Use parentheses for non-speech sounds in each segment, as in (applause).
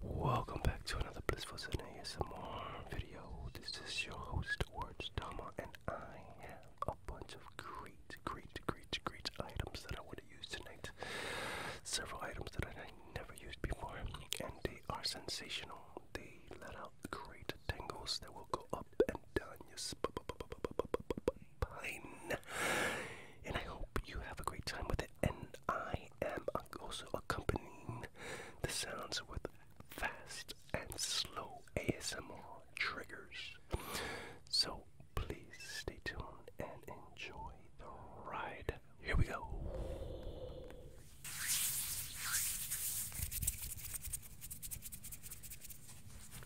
Welcome back to another Blissful ASMR video. This is your host, Words Dama, and I have a bunch of great, great, great, great items that I want to use tonight. Several items that I never used before, and they are sensational. They let out great tingles that will go up and down your spine. And I hope you have a great time with it. And I am also accompanying the sounds with fast and slow ASMR triggers. So please stay tuned and enjoy the ride. Here we go.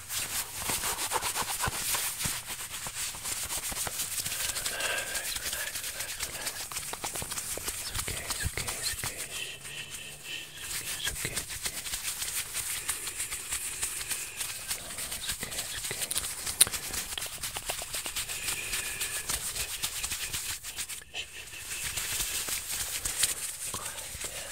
Relax, relax, relax, relax. It's okay, it's okay, it's okay. Shh, shh, shh. It's okay, it's okay. It's okay, it's okay. Quiet down,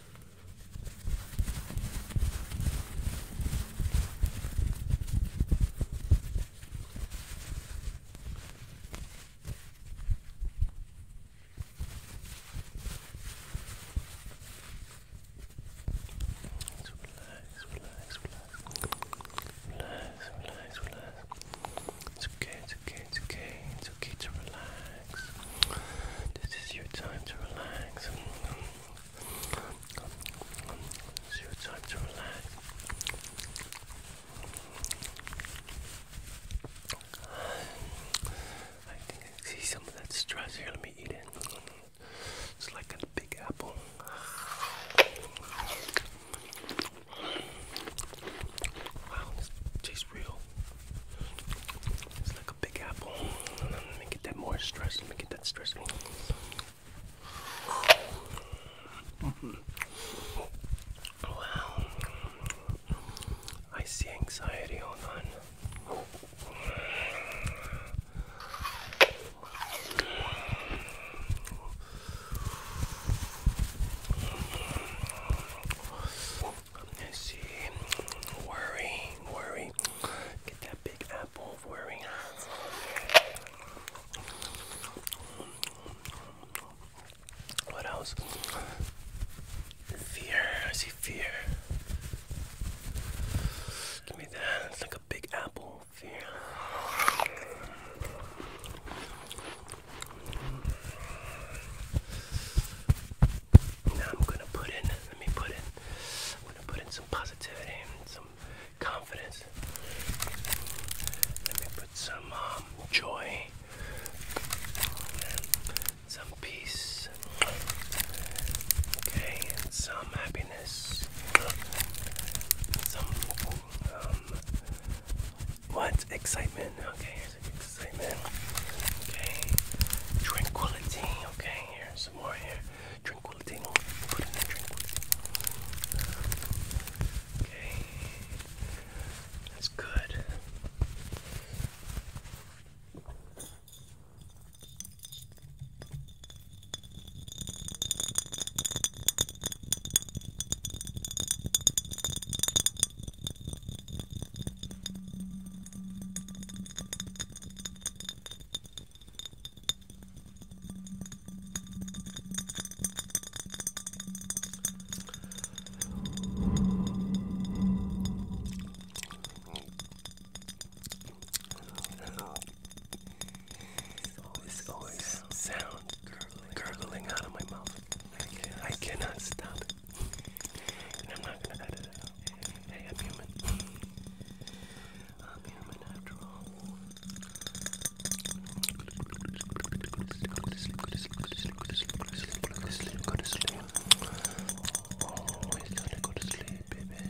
relax, relax, It's okay, it's okay, it's okay, it's okay to relax. This is your time to relax. This your time to relax. I think I see some of that stress here. Let me eat it. It's like a big apple. Wow, this tastes real. It's like a big apple. Make it that more stress. Make it that stress. Wow. I see anxiety. Hold on. I us see. Worry, worry. Get that big apple worry. What else? Fear. I see fear. Give me that. It's like a big apple. Fear. Now I'm gonna put in, let me put in, I'm gonna put in some positivity some confidence. Let me put some um, joy some peace. Okay, some happiness. Some um, what? Excitement. Okay, this Okay. Tranquility. Okay, here, some more here. Tranquility. Okay. That's good. This always sound gurgling, gurgling out of my mouth. I, I cannot stop it. I'm not gonna edit it out. Hey, I'm human. I'm human after all. Go to sleep, go to go to sleep, baby. You still have to go to sleep, my man.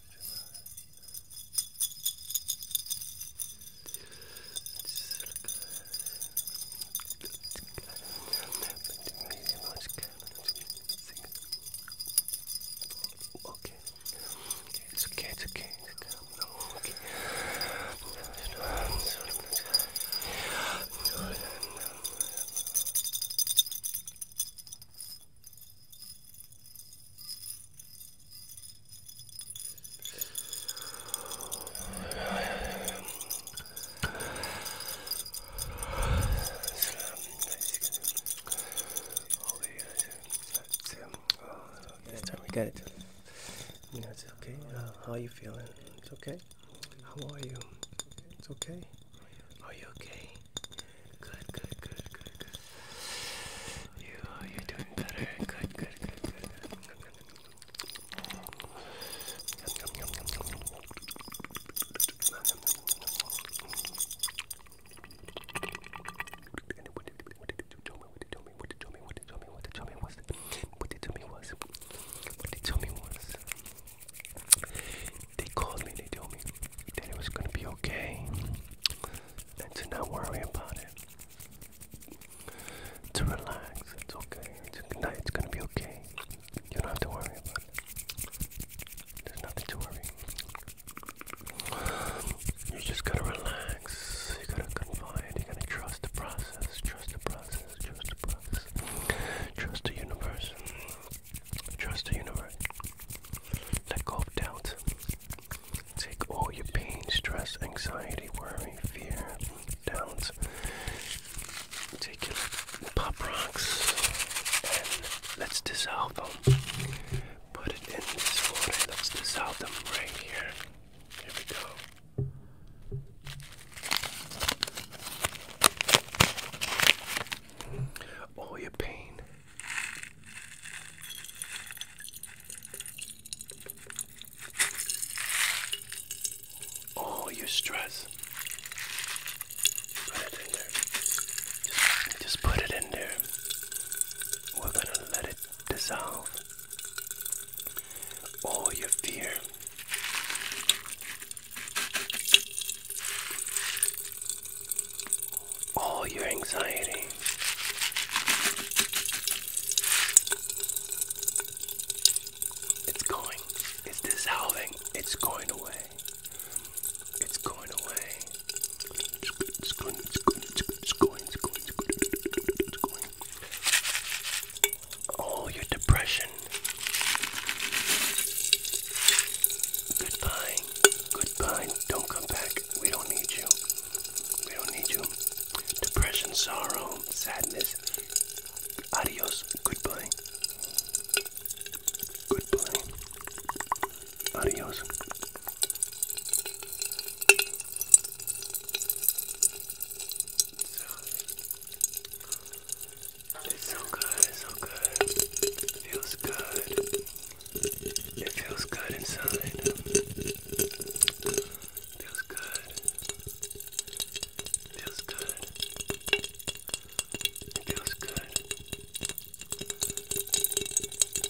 Okay. It's okay, it's okay, it's okay. No, okay. No, no, no, no. Okay, that's time we got it. You know, it's okay. Uh, how are you feeling? It's okay. How are you? It's okay. Are you okay? Good, good, good, good, You, uh, you doing better. Good, good, good, good. What they told me was, what they told me was, they called me, they told me that it was gonna be okay and to not worry about it. To relax, it's okay. It's, it's gonna be okay. You don't have to worry about it. There's nothing to worry. You just gotta relax. You gotta confide. You gotta trust the process. Trust the process. Trust the process. Trust the universe. Trust the universe. Let go of doubt. Take all your pain, stress, anxiety, worry, fear, doubts. Take your pop rocks and let's dissolve them. Put it in this water. Let's dissolve them right here. Here we go. All your pain, all oh, your stress. just put it in there. We're gonna let it dissolve. All your fear all your anxiety. It's going, it's dissolving, it's going away. It's going away. It's going, it's going, it's going, it's going, it's going, it's going. All your depression. Goodbye. Goodbye. Goodbye. Don't come back. We don't need you. We don't need you. Depression, sorrow, sadness. Adios. Goodbye. Goodbye. Adios. It's so good, it's so good. It feels good. It feels good inside. Feels good. Feels good. feels good.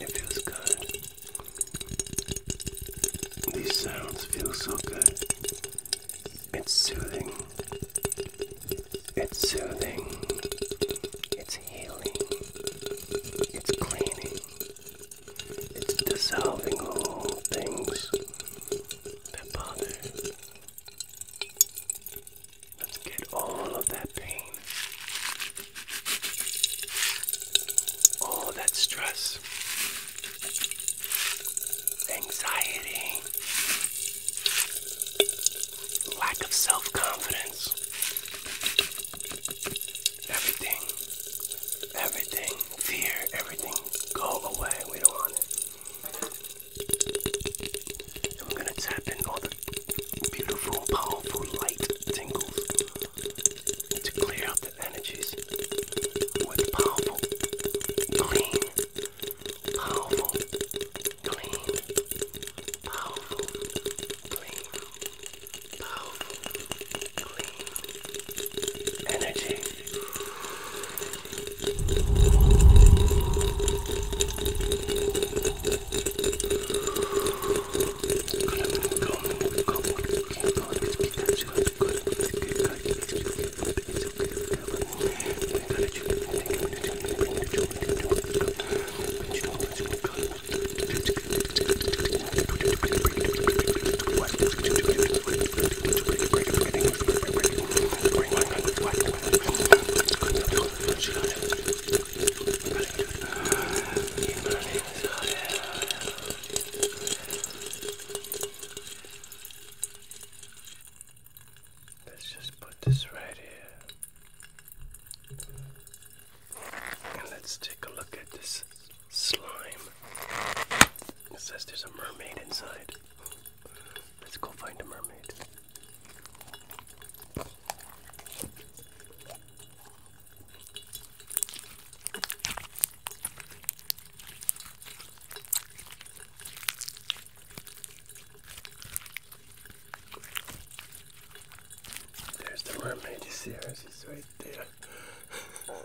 It feels good. These sounds feel so good. It's soothing. It's soothing. It's healing. It's cleaning. It's dissolving all things that bother. Let's get all of that pain, all that stress, anxiety, lack of self confidence. Everything, everything, fear, everything, go away. We don't want it. I'm gonna tap in all the beautiful, powerful light tingles to clear out the energies powerful, clean, powerful, clean Powerful, clean, powerful, clean energy. Good, Let's just put this right here let's take a look at this slime. It says there's a mermaid inside. Let's go find a mermaid. There's the mermaid series, it's right there. (laughs)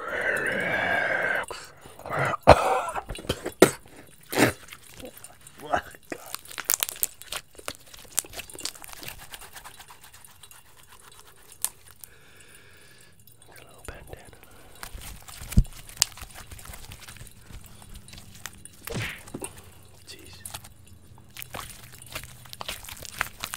Relax. oh, God. A little bandana. Jeez.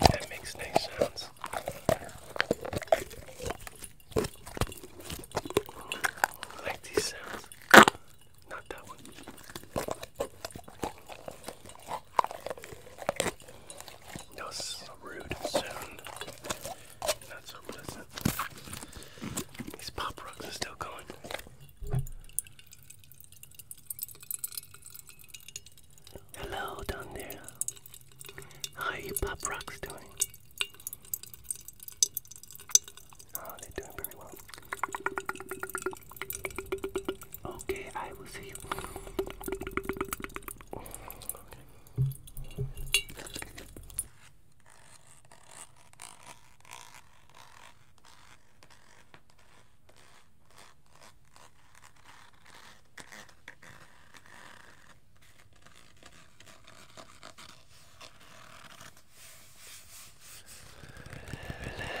That makes nice sounds. I like these sounds. Not that one. That a rude sound. That's so pleasant. These pop rocks are still going. Hello down there. How are you pop rocks doing? Oh, they're doing very well. Okay, I will see you. Okay. Relax.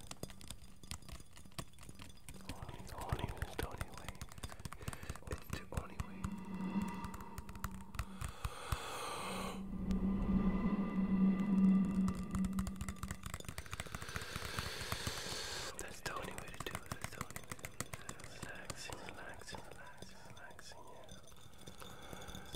Only, only only way. only way. That's the only way to do it. only way to do it. Relaxing, relaxing, relaxing, relaxing, yeah.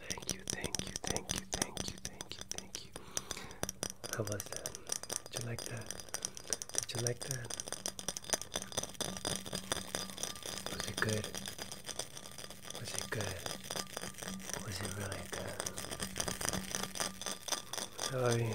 Thank you, thank you, thank you, thank you, thank you, thank you. How was that? Did you like that? Did you like that? Was it good? Was it good? Was it really good? I mean,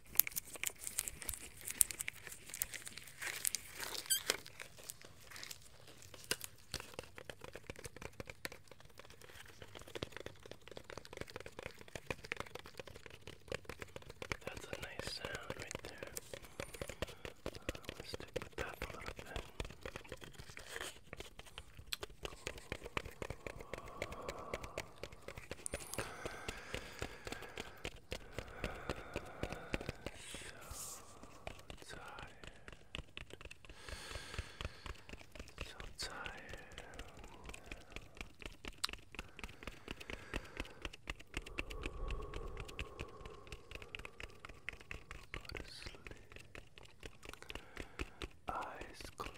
That's a nice sound right there. Uh, let's stick with that a little bit. Oh. So tired. So tired. Go to sleep. Eyes closed.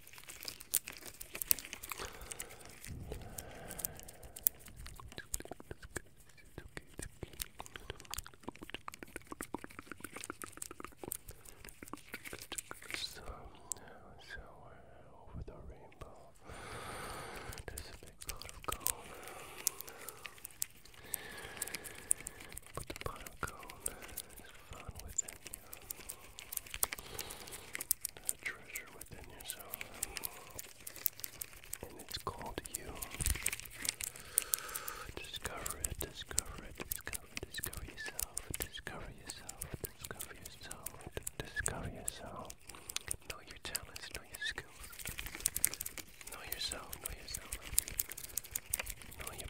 So, so uh, over the rainbow, there's a big pot of gold. But the pot of gold is uh, found within you a treasure within yourself, and it's called you. Discover it, discover it, discover, discover yourself, discover yourself, discover yourself, discover yourself. Know your talents, know your skills. Know yourself, know yourself. Know your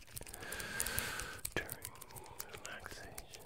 during relaxation. Good.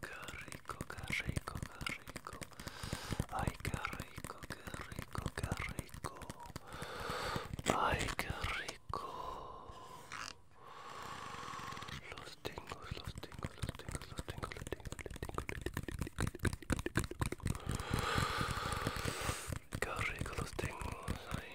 qué rico, qué rico, qué rico. Ay, qué rico, qué rico, qué rico. Ay, qué rico. Los tengo, los tengo, los tengo, los tengo, los tengo, los tengo, los tengo. Qué rico los tengo. ay.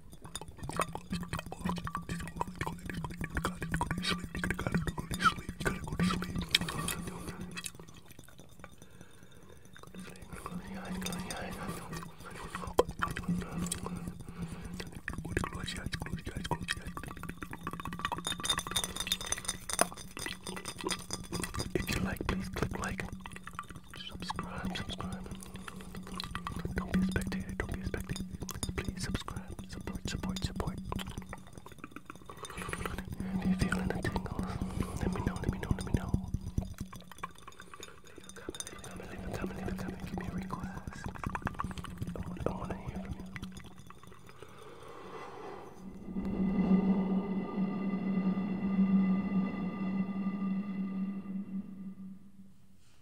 If you like, please click like, subscribe, subscribe. Don't be a spectator, don't be a spectator. Please subscribe, support, support, support. If you're feeling the tingles, let me know, let me know, let me know. Leave a comment, leave a comment, leave a comment, leave a comment. Give me a request. I want, I want to hear from you.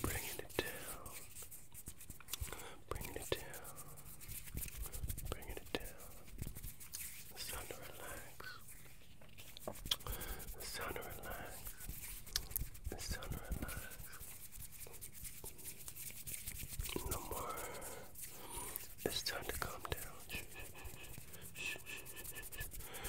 Bring it down. Bring it down. Bring it down. It's time to relax. It's time to relax. It's time to relax. No more. It's time to calm down. Shh, shh, shh, shh, shh, shh, shh, shh,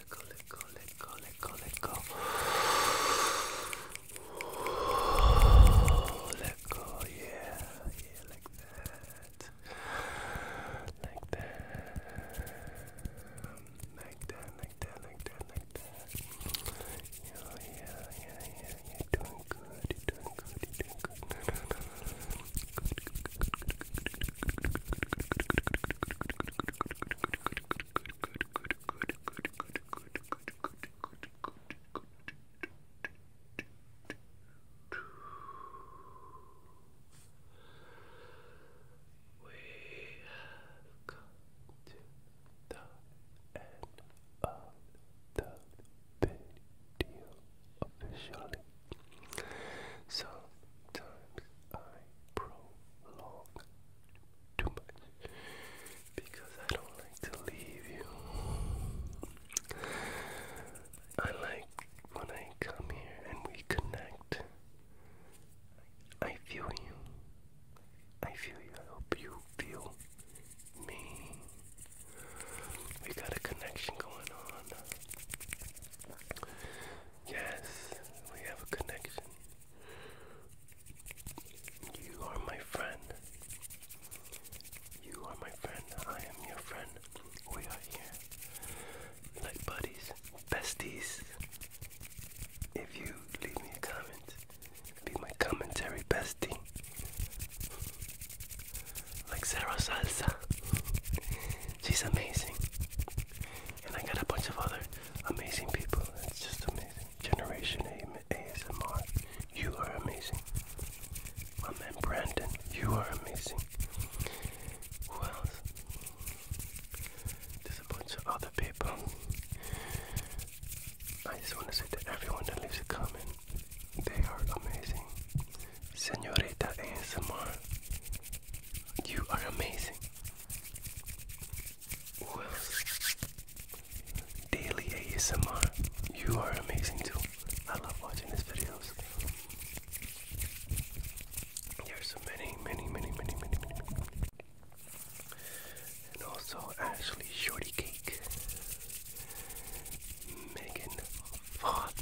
let go, let go, let go, let go, let go. Let go, yeah, yeah, like that. Like that. Like that, like that, like that, Yeah, yeah, yeah, yeah, you're doing good, you're doing good, you're doing good have come to the end of the video officially. Sometimes I prolong too much because I don't like to leave you. I like when I come here and we connect. I feel you. I feel you. I hope you feel me. We got a connection going on. Yes, we have a connection. You are my friend. You are my friend. I am your friend. We are here. Like buddies, besties. If you leave me a comment, be my commentary bestie. Like Sarah Salsa. She's amazing and I got a bunch of other amazing people. It's just amazing. Generation A ASMR, you are amazing. My man Brandon, you are amazing. Who else? There's a bunch of other people. I just want to say to everyone that leaves a comment, they are amazing. Senorita ASMR, you are amazing. Well, daily ASMR, you are amazing too. I love watching these videos. There's so many, many, many, many, many, many. And also, Ashley Shorty Cake, Megan Foth,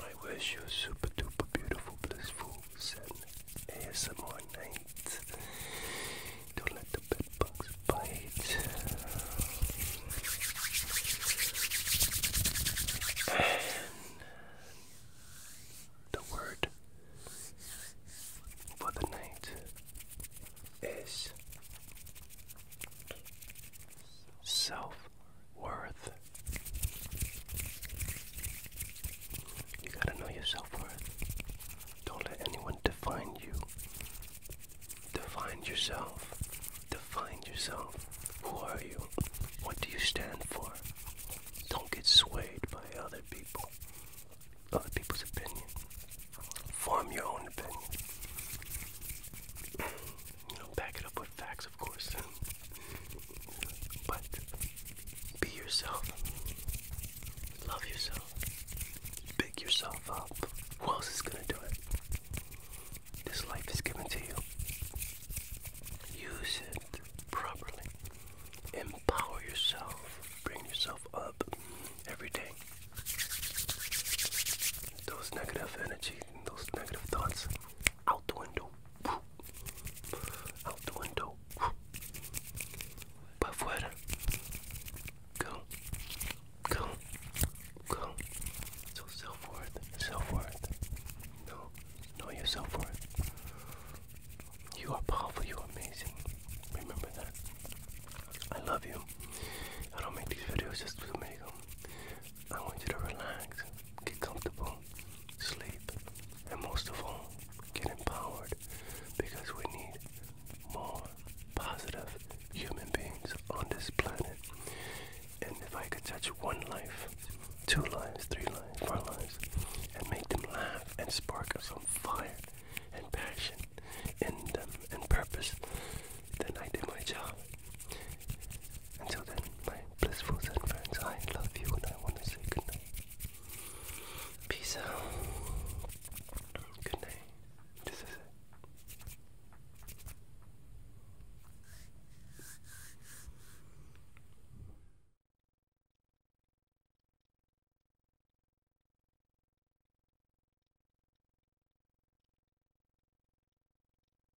I wish you a super duper beautiful, blissful, zen ASMR night. Don't let the bed bugs bite. And the word for the night is self worth. You gotta know your self worth. Don't let anyone define you. Define yourself. Define yourself. Who are you? What do you stand for? Don't get swayed by other people, other people's opinion. Form your own opinion. (clears throat) You know, back it up with facts of course. but be yourself. Love yourself. Pick yourself up. Who else is gonna do it? This life is given to you. Use it properly. Empower yourself. Bring yourself up every day. Those negative energy those negative thoughts out the window. Out the window. Para afuera. Go. Go. Go. So self worth. Self worth. No. Know your self worth. You are powerful. You are amazing. Remember that. I love you. I don't make these videos just to make them. I want you to relax, get comfortable, sleep, and most of all, get empowered because we need more positive human beings on this planet. And if I could touch one life, two lives, three lives, four lives, and make them laugh and spark some fire and passion and, um, and purpose, then I did my job. Until then, my blissful friends, I love you and I want to say goodnight. Peace out. Good night. This is it.